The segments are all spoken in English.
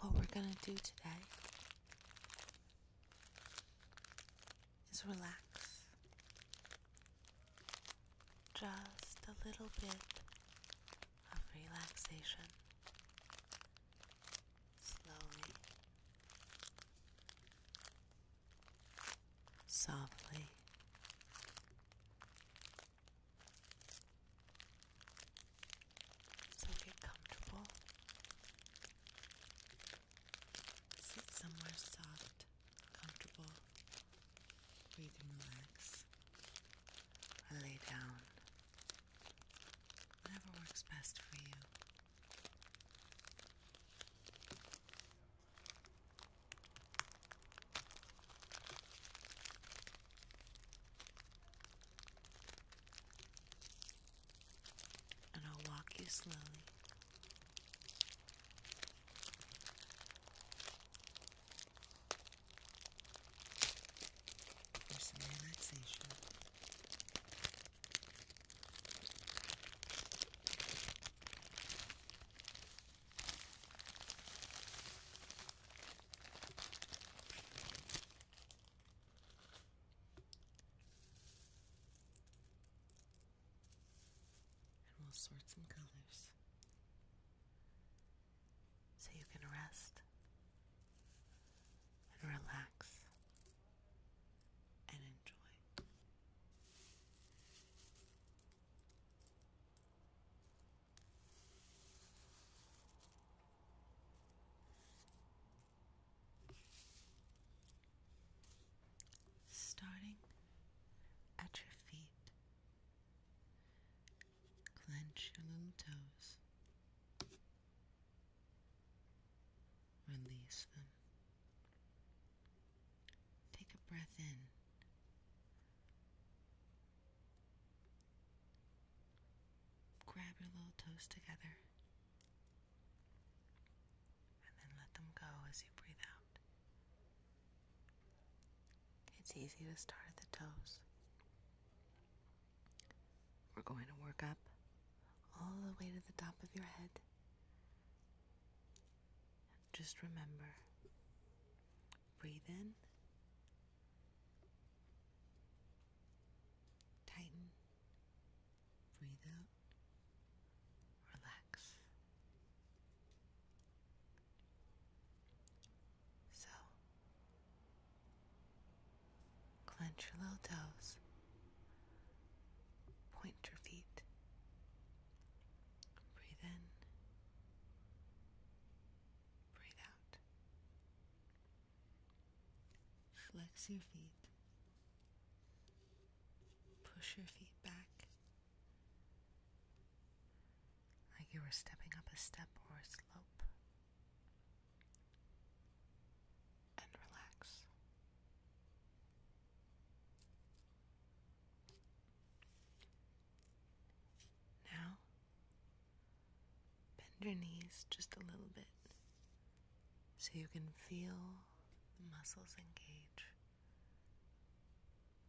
What we're going to do today is relax just a little bit of relaxation slowly softly so get comfortable Sit somewhere soft, comfortable, where you relax or lay down. Whatever works best for you and I'll walk you slowly. For some relaxation. And we'll sort some colors so you can rest and relax and enjoy starting at your feet. Clench your little toes. Release them. Take a breath in. Grab your little toes together and then let them go as you breathe out. It's easy to start at the toes. We're going to work up all the way to the top of your head. Just remember breathe in, tighten, Breathe out. Relax. So, clench your little toes, point your feet, breathe in, breathe out. Flex your feet. Push your feet back like you were stepping up a step or a slope. And relax. Now, bend your knees just a little bit so you can feel the muscles engage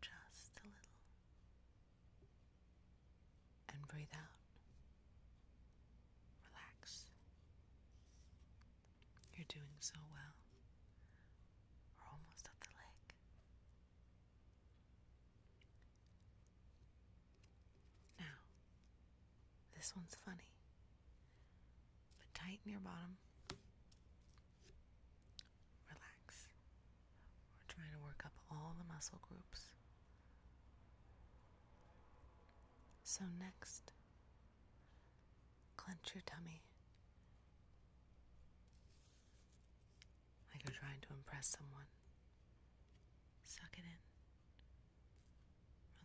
just a little. And breathe out. Relax. You're doing so well. We're almost up the leg. Now, this one's funny. But tighten your bottom. Relax. We're trying to work up all the muscle groups. So, next, clench your tummy. Like you're trying to impress someone. Suck it in.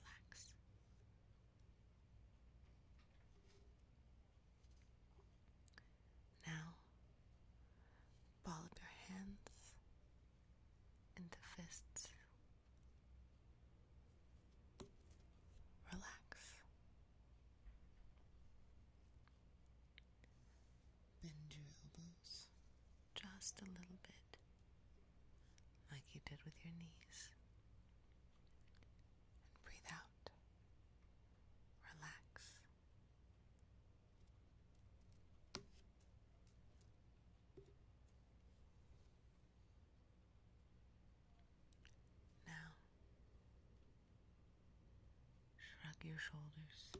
Relax. Now, ball up your hands into fists. Relax. Bend your elbows just a little bit like you did with your knees. And breathe out. Relax. Now, shrug your shoulders.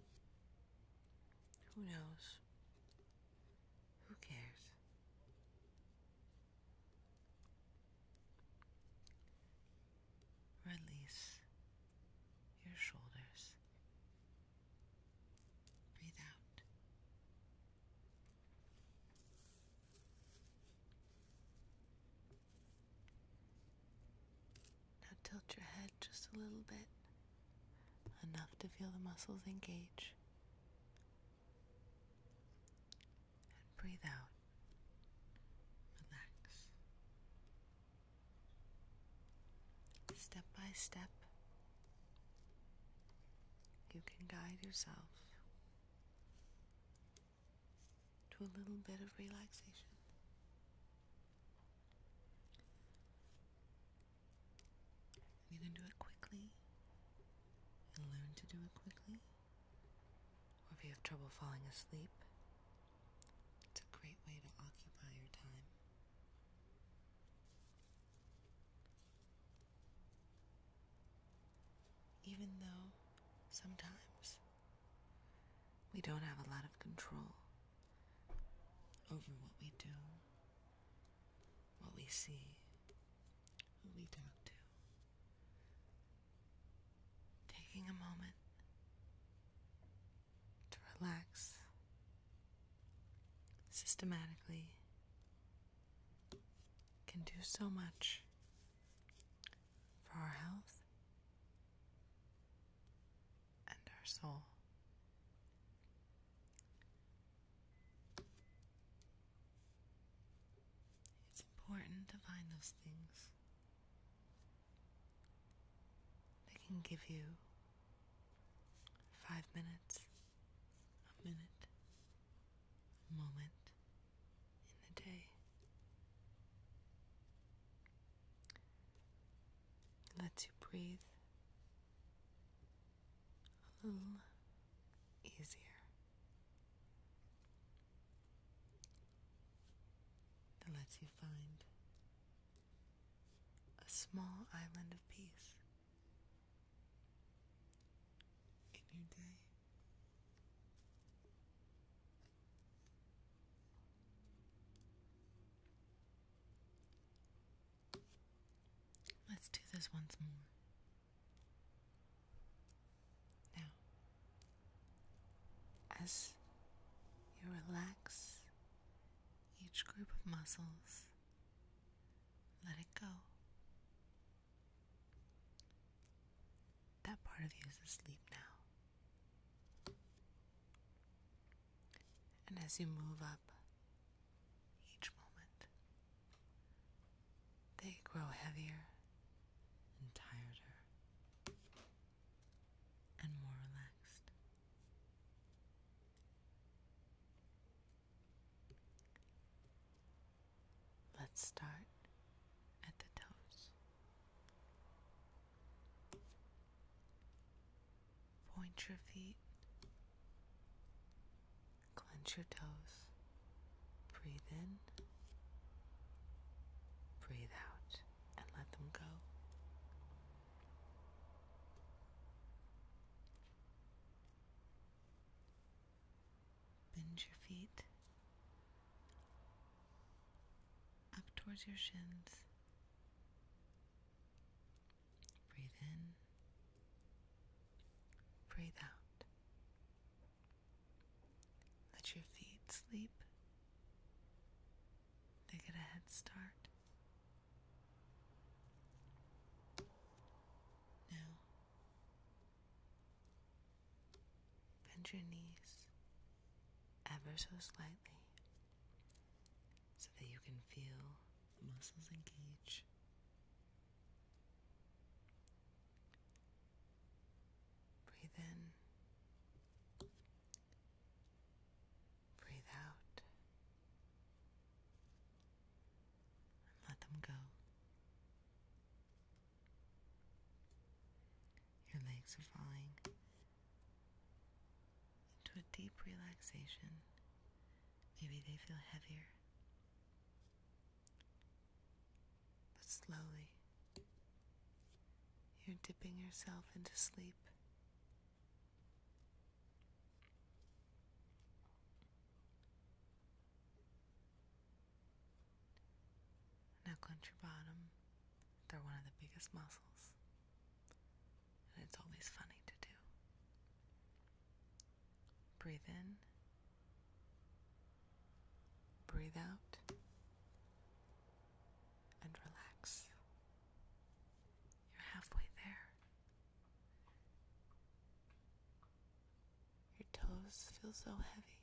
Who knows? Who cares? Release your shoulders. Breathe out. Now tilt your head just a little bit, enough to feel the muscles engage breathe out. Relax. Step by step, you can guide yourself to a little bit of relaxation. I'm do it quickly and learn to do it quickly, or if you have trouble falling asleep, it's a great way to occupy your time. Even though sometimes we don't have a lot of control over what we do what we see, who we talk to. Taking a moment to relax systematically can do so much for our health and our soul. It's important to find those things They can give you five minutes, a minute, a moment in the day. It lets you breathe a um, little easier. That lets you find a small island of peace in your day. Let's do this once more. Now, as you relax each group of muscles, let it go. That part of you is asleep now. And as you move up each moment, they grow heavier and tireder and more relaxed. Let's start at the toes. Point your feet Clench your toes. Breathe in. Breathe out and let them go. Bend your feet up towards your shins. Breathe in. Breathe out. Let your feet sleep. They get a head start. Now, bend your knees ever so slightly so that you can feel the muscles engage Breathe in. Breathe out. And let them go. Your legs are falling into a deep relaxation. Maybe they feel heavier. But slowly, you're dipping yourself into sleep. Now clench your bottom. They're one of the biggest muscles. And it's always funny to do. Breathe in Breathe out and relax. You're halfway there. Your toes feel so heavy,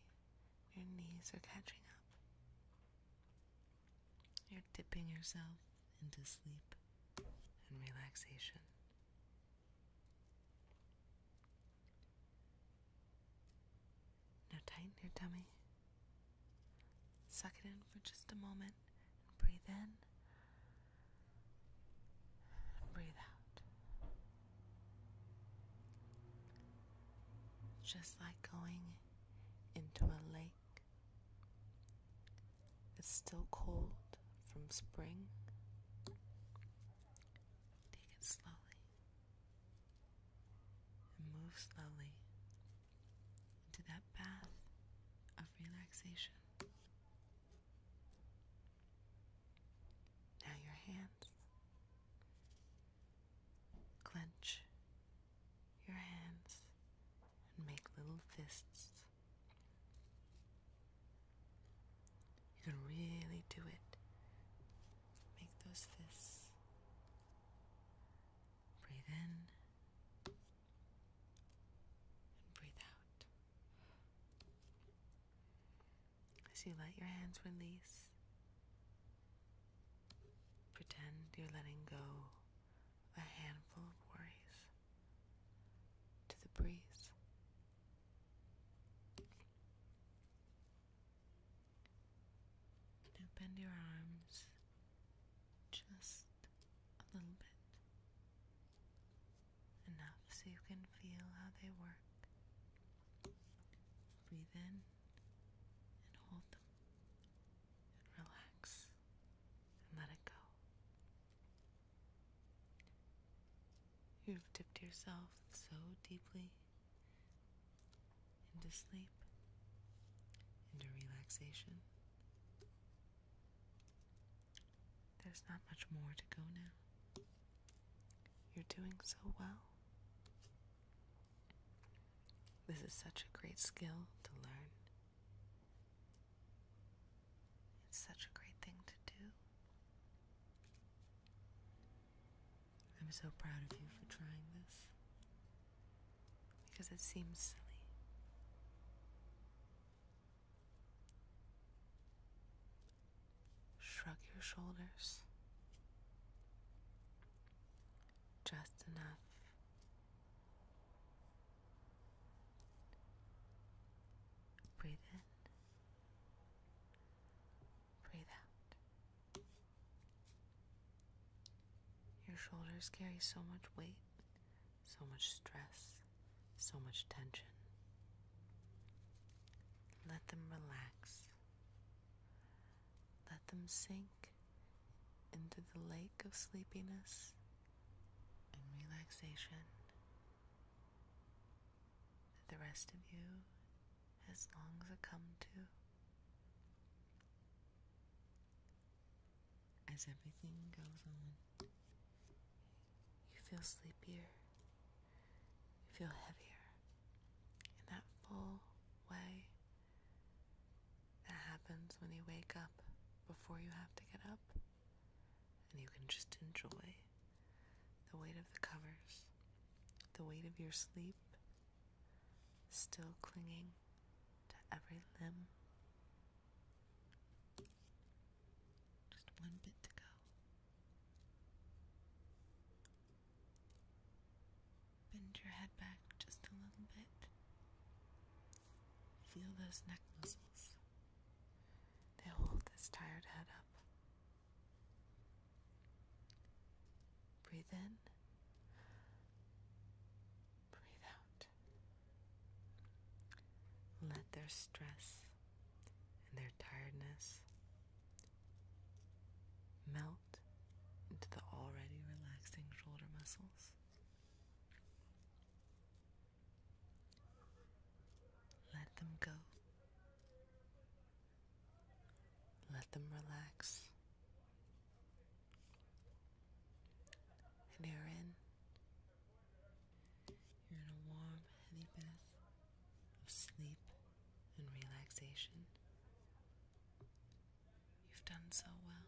your knees are catching up. You're dipping yourself into sleep and relaxation. Now tighten your tummy. Suck it in for just a moment breathe in breathe out. Just like going into a lake. It's still cold from spring, Take it slowly and move slowly into that path of relaxation. Now your hands clench your hands and make little fists. You can really do it. Make those fists. Breathe in breathe out. As you let your hands release, pretend you're letting go a handful of worries to the breeze. Now bend your arms just a little bit. Enough so you can feel how they work. Breathe in and hold them and relax and let it go. You've dipped yourself so deeply into sleep, into relaxation. There's not much more to go now. You're doing so well. This is such a great skill to learn. It's such a great thing to do. I'm so proud of you for trying this because it seems silly. Shrug your shoulders just enough. Breathe in Breathe out. Your shoulders carry so much weight, so much stress, so much tension. Let them relax. Let them sink into the lake of sleepiness and relaxation that the rest of you as long succumbed to. As everything goes on, you feel sleepier, you feel heavier. In that full way that happens when you wake up before you have to get up and you can just enjoy the weight of the covers, the weight of your sleep, still clinging to every limb. Just one bit to go. Bend your head back just a little bit. Feel those neck muscles. They hold this tired head up Breathe in. Breathe out. Let their stress and their tiredness melt into the already relaxing shoulder muscles. Let them go let them relax. And you're in. You're in a warm, heavy bath of sleep and relaxation. You've done so well.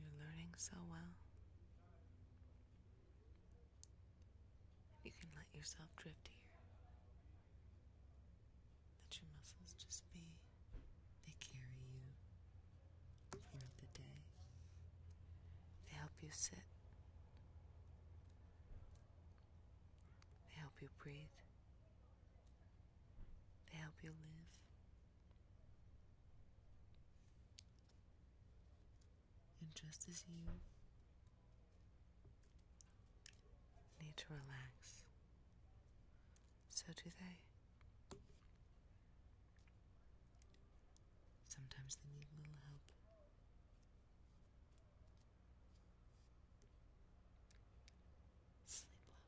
You're learning so well. You can let yourself drift here. Let your muscles just be, they carry you throughout the day. They help you sit. They help you breathe. They help you live. And just as you need to relax, so do they. Sometimes they need a little help. Sleep well.